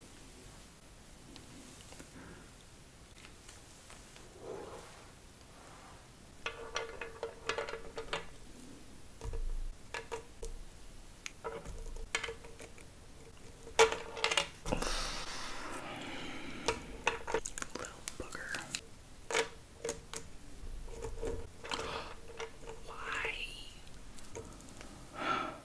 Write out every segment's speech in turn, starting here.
Little booger. Why?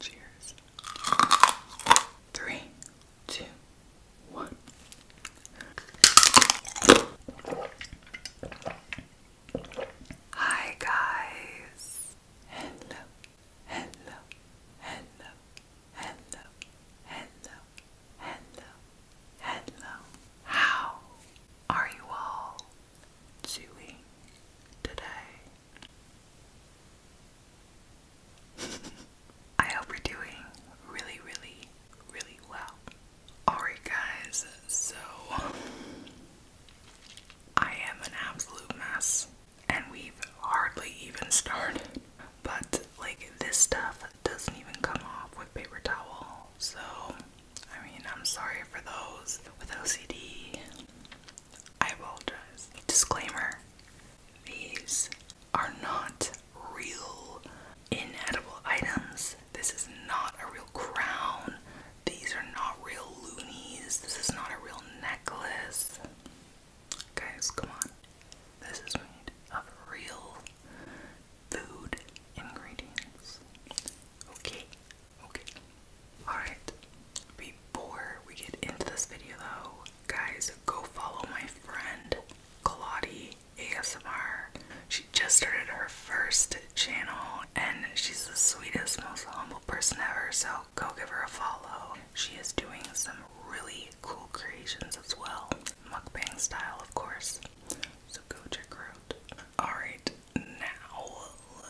Cheers. Three, two. What? Hi guys. Hello. Hello. Hello. Hello. Hello. Hello. Hello. How are you all doing today? I hope you're doing really, really, really well. Alright, guys, so I am an absolute mess, and we've hardly even started. But, like, this stuff doesn't even come off with paper towel, so I mean, I'm sorry for those with OCD. I apologize. Disclaimer these are not real inedible items. This is not a real crown. These are not real loonies. This is not a real necklace. Guys, come on. This is made of real food ingredients. Okay, okay. Alright, before we get into this video though, guys, go follow my friend Claudia ASMR. She just started her first channel and she's the sweetest, most humble person ever, so go give her a follow. She is doing some really cool creations as well. Mukbang style, of course. So go check her out. Alright, now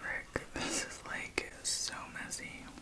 Frick, this is like so messy.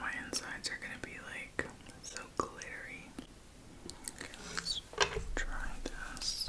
My insides are gonna be like so glittery. let's try this.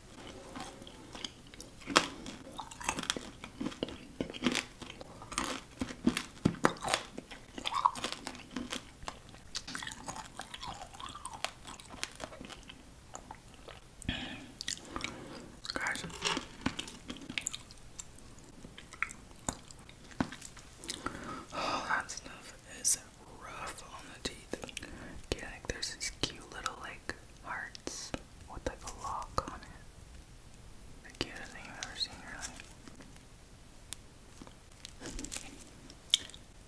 Guys, oh, that stuff is rough on the teeth. like there's these cute little like hearts what type of lock on it. The cutest thing I've ever seen really.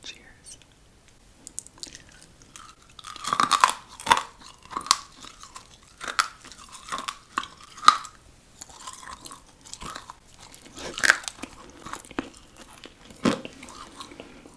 Cheers.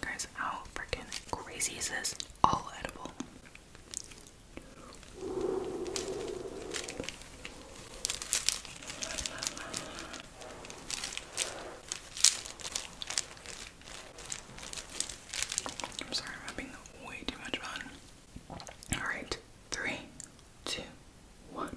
Guys, how freaking crazy is this? All edible. I'm sorry, I'm having way too much fun. Alright, three, two, one.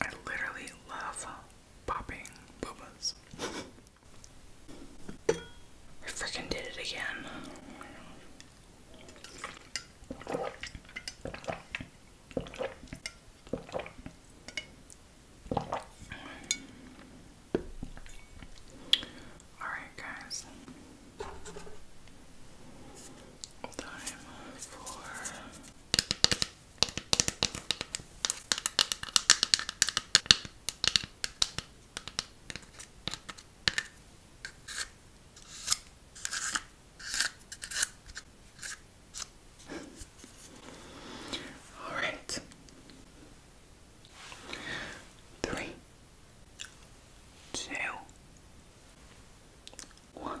I literally love popping boobas. I freaking did it again. Alright, guys. Time for all right. Three, two, one.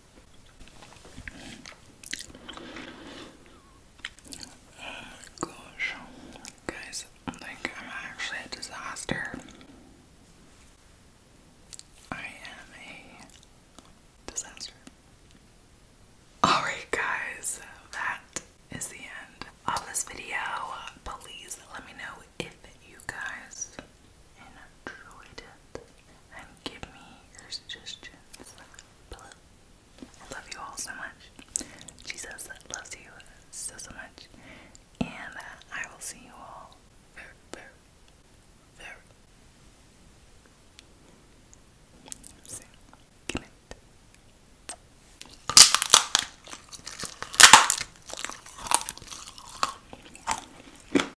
gosh, guys, I I'm actually a disaster. I am a disaster. Alright, guys, that is the end of this video. Please let me know if you guys and enjoyed it. And give me your suggestions below. I love you all so much. Jesus loves you so, so much. And I will see you all very, very, very soon. Good